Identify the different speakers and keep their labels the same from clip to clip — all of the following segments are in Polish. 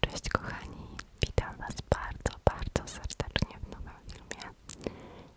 Speaker 1: Cześć kochani, witam Was bardzo, bardzo serdecznie w nowym filmie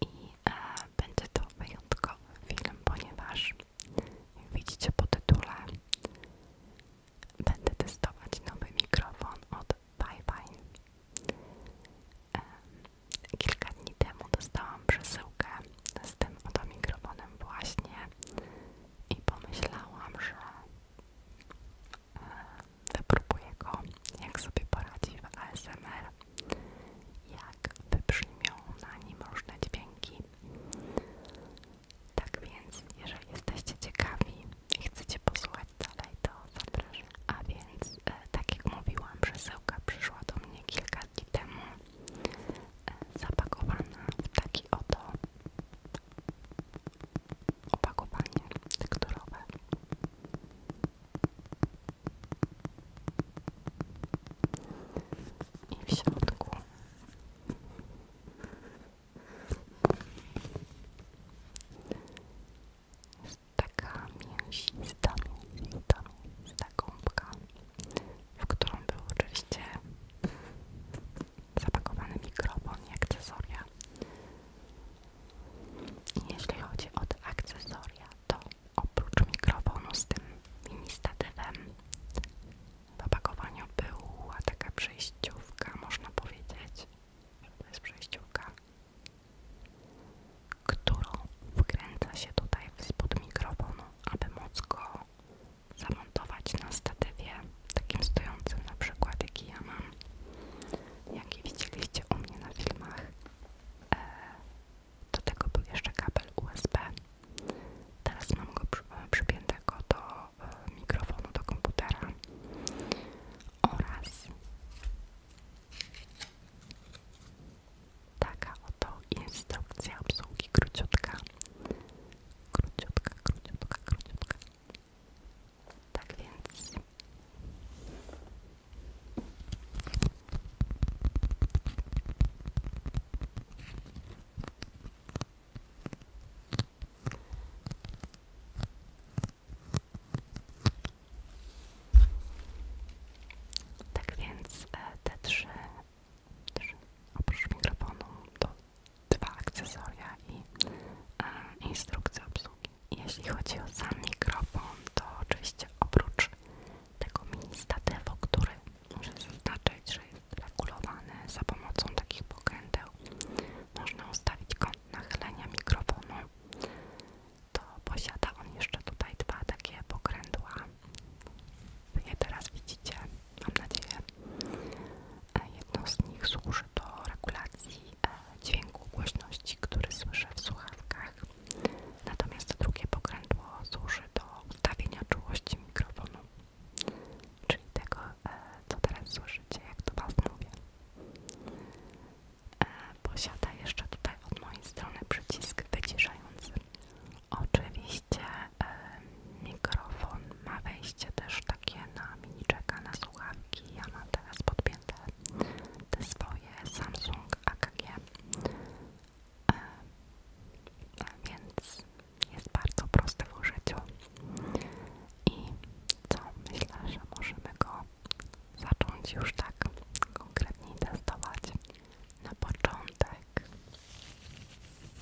Speaker 1: i e, będzie to wyjątkowy film, ponieważ jak widzicie po tytule będę testować nowy mikrofon od Bye e, Kilka dni temu dostałam przesyłkę z tym oto mikrofonem właśnie i pomyślałam, że wypróbuję e, go, jak sobie poradzi w ASMR, jak wybrzmią na nim różne dźwięki. Tak więc, jeżeli jesteście ciekawi i chcecie posłuchać dalej, to zapraszam. A więc, e, tak jak mówiłam, przesyłka przyszła do mnie kilka dni temu, e, zapakowana w taki oto opakowanie tekturowe. I w środku jest taka mięsista, mięsista, mięsista gąbka, w którą było oczywiście zapakowany mikrofon i akcesoria. I jeśli chodzi o akcesoria, to oprócz mikrofonu z tym mini statywem w opakowaniu była taka przejściówka, można powiedzieć, że to jest przejściówka, którą wkręca się tutaj w spod mikrofonu, aby móc go zamontować na statywie takim stojącym na przykład, jaki ja mam, jaki widzieliście u mnie na filmach. E, do tego był jeszcze kabel USB. Teraz mam go e, przypiętego do e, mikrofonu, do komputera oraz taka oto instrukcja obsługi króciutka. Króciutka, króciutka, króciutka. Tak więc tak więc e, te trzy, trzy oprócz mikrofonu do dwa akcesoria i e, obsługi. Jeśli chodzi o sam mikrofon, to oczywiście oprócz tego mini statywu, który muszę zaznaczyć, że jest regulowany za pomocą takich pokręteł, można ustawić kąt nachylenia mikrofonu. To posiada on jeszcze tutaj dwa takie pokrętła. Je teraz widzicie, mam nadzieję. E, jedno z nich służy do regulacji e, dźwięku głośności, który słyszę w słuchawkach. Natomiast drugie pokrętło służy do ustawienia czułości mikrofonu, czyli tego, e, co teraz słyszycie, jak to Was mówię. Posiada jeszcze tutaj od mojej strony przycisk wyciszający. Oczywiście Mikrofon ma wejście też takie na mini miniczeka, na słuchawki. Ja mam teraz podpięte te swoje Samsung AKG, e, więc jest bardzo prosty w użyciu. I co? Myślę, że możemy go zacząć już tak konkretnie testować na początek.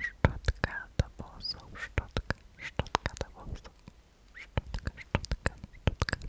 Speaker 1: Szczotka do włosów, szczotka, szczotka do włosów, szczotka, szczotka, szczotka. Szczotka,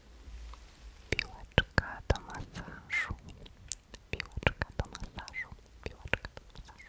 Speaker 1: Piłeczka do masażu. Piłeczka do masażu. Piłeczka do masażu.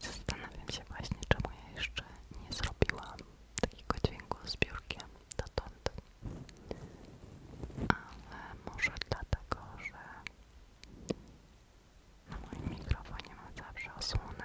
Speaker 1: Zastanawiam się właśnie, czemu ja jeszcze nie zrobiłam takiego dźwięku z biurkiem dotąd. Ale może dlatego, że na moim mikrofonie mam zawsze osłonę.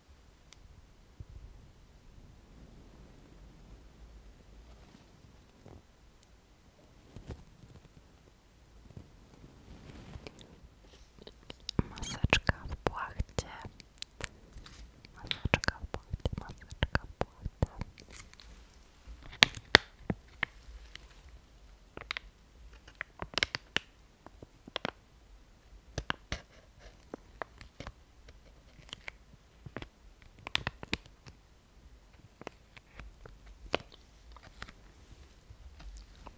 Speaker 1: Maseczka w płachcie. Maseczka w płachcie, maseczka w płachcie.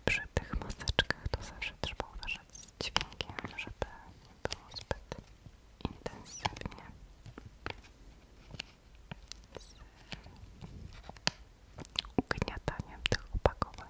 Speaker 1: Przy tych maseczkach to zawsze trzeba uważać z dźwiękiem, żeby nie było zbyt intensywnie z ugniataniem tych opakowań.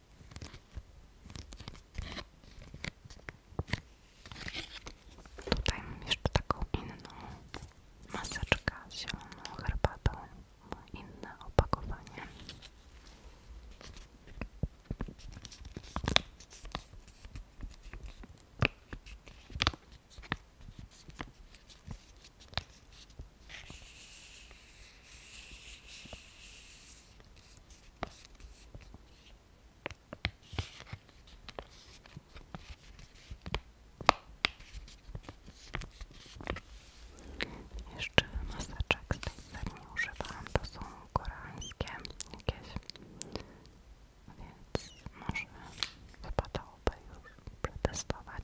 Speaker 1: Dajmy jeszcze taką inną maseczkę z zieloną herbatą, inne opakowanie. Jeszcze maseczek z tej to są koreańskie jakieś, więc może wypadałoby już przetestować.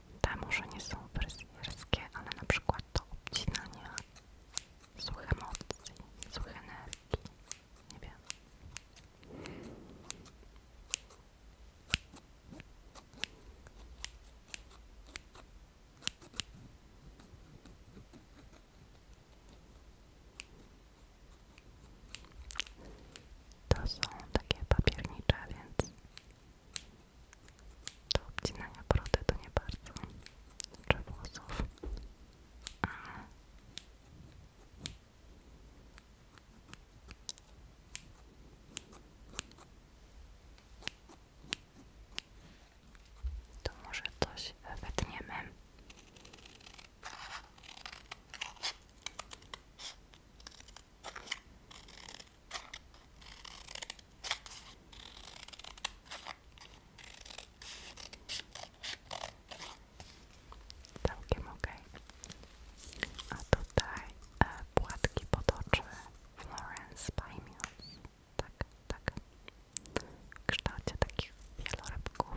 Speaker 1: Te może nie są fryzjerskie, ale na przykład to odcinanie, złych emocji, złych energii, nie To są takie papiernicze, więc do obcinania brody to nie bardzo, czy włosów, to może coś wytniemy. Całkiem ok. A tutaj e, płatki potoczy Florence by Tak, tak. W kształcie takich wielorybków.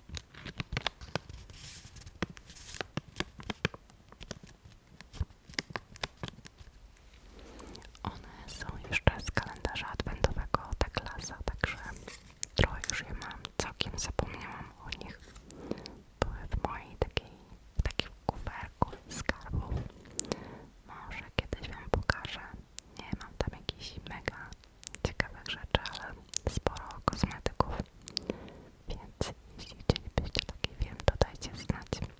Speaker 1: One są jeszcze z kalendarza adventowego adwentowego Teglasa, tak także trochę już je mam, całkiem zapomniałam o nich. Były w mojej takiej, takim kuferku skarbu. Może kiedyś wam pokażę. Nie mam tam jakichś mega ciekawych rzeczy, ale sporo kosmetyków. Więc jeśli chcielibyście taki film, to dajcie znać.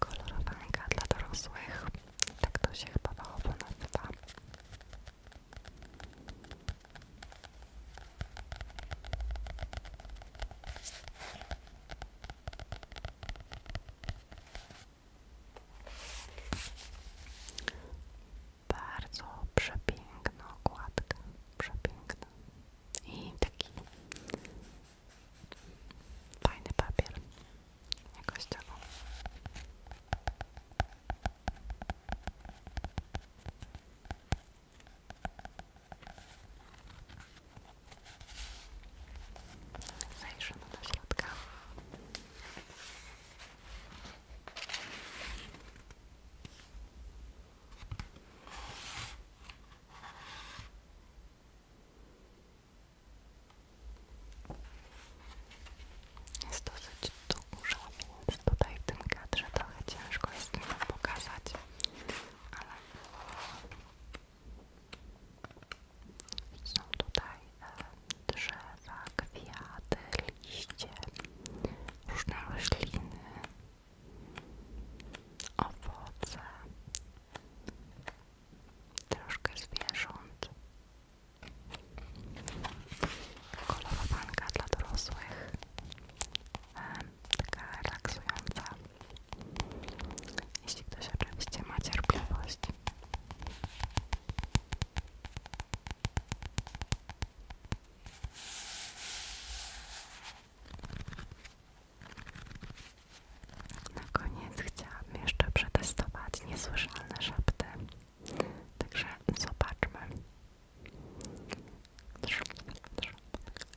Speaker 1: Kolorowanka dla dorosłych. Tak to się chyba fachowo nazywa. Bardzo przepiękna okładka, przepiękna i taki fajny papier, jakoś tego. Zajrzymy do środka. Jest dosyć dużo, więc tutaj w tym kadrze trochę ciężko jest mi pokazać są tutaj e, drzewa, kwiaty, liście, różne rośliny, owoce, troszkę zwierząt. Kolorowanka dla dorosłych taka relaksująca. Jeśli ktoś oczywiście ma cierpliwość. Na koniec chciałam jeszcze przetestować niesłyszalne szepty. Także zobaczmy.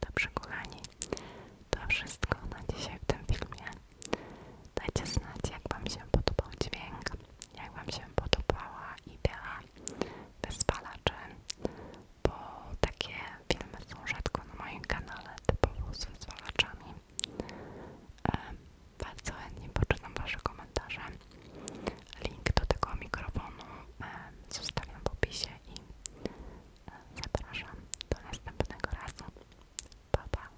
Speaker 1: Dobrze kochani, to wszystko na dzisiaj w tym filmie. Dajcie znać jak Wam się podobał dźwięk, jak Wam się podobała idea wyzwalaczy, bo takie filmy są rzadko na moim kanale, typowo z wyzwalaczami. E, bardzo chętnie poczytam Wasze komentarze. Link do tego mikrofonu e, zostawiam w opisie i e, zapraszam do następnego razu. Pa, pa.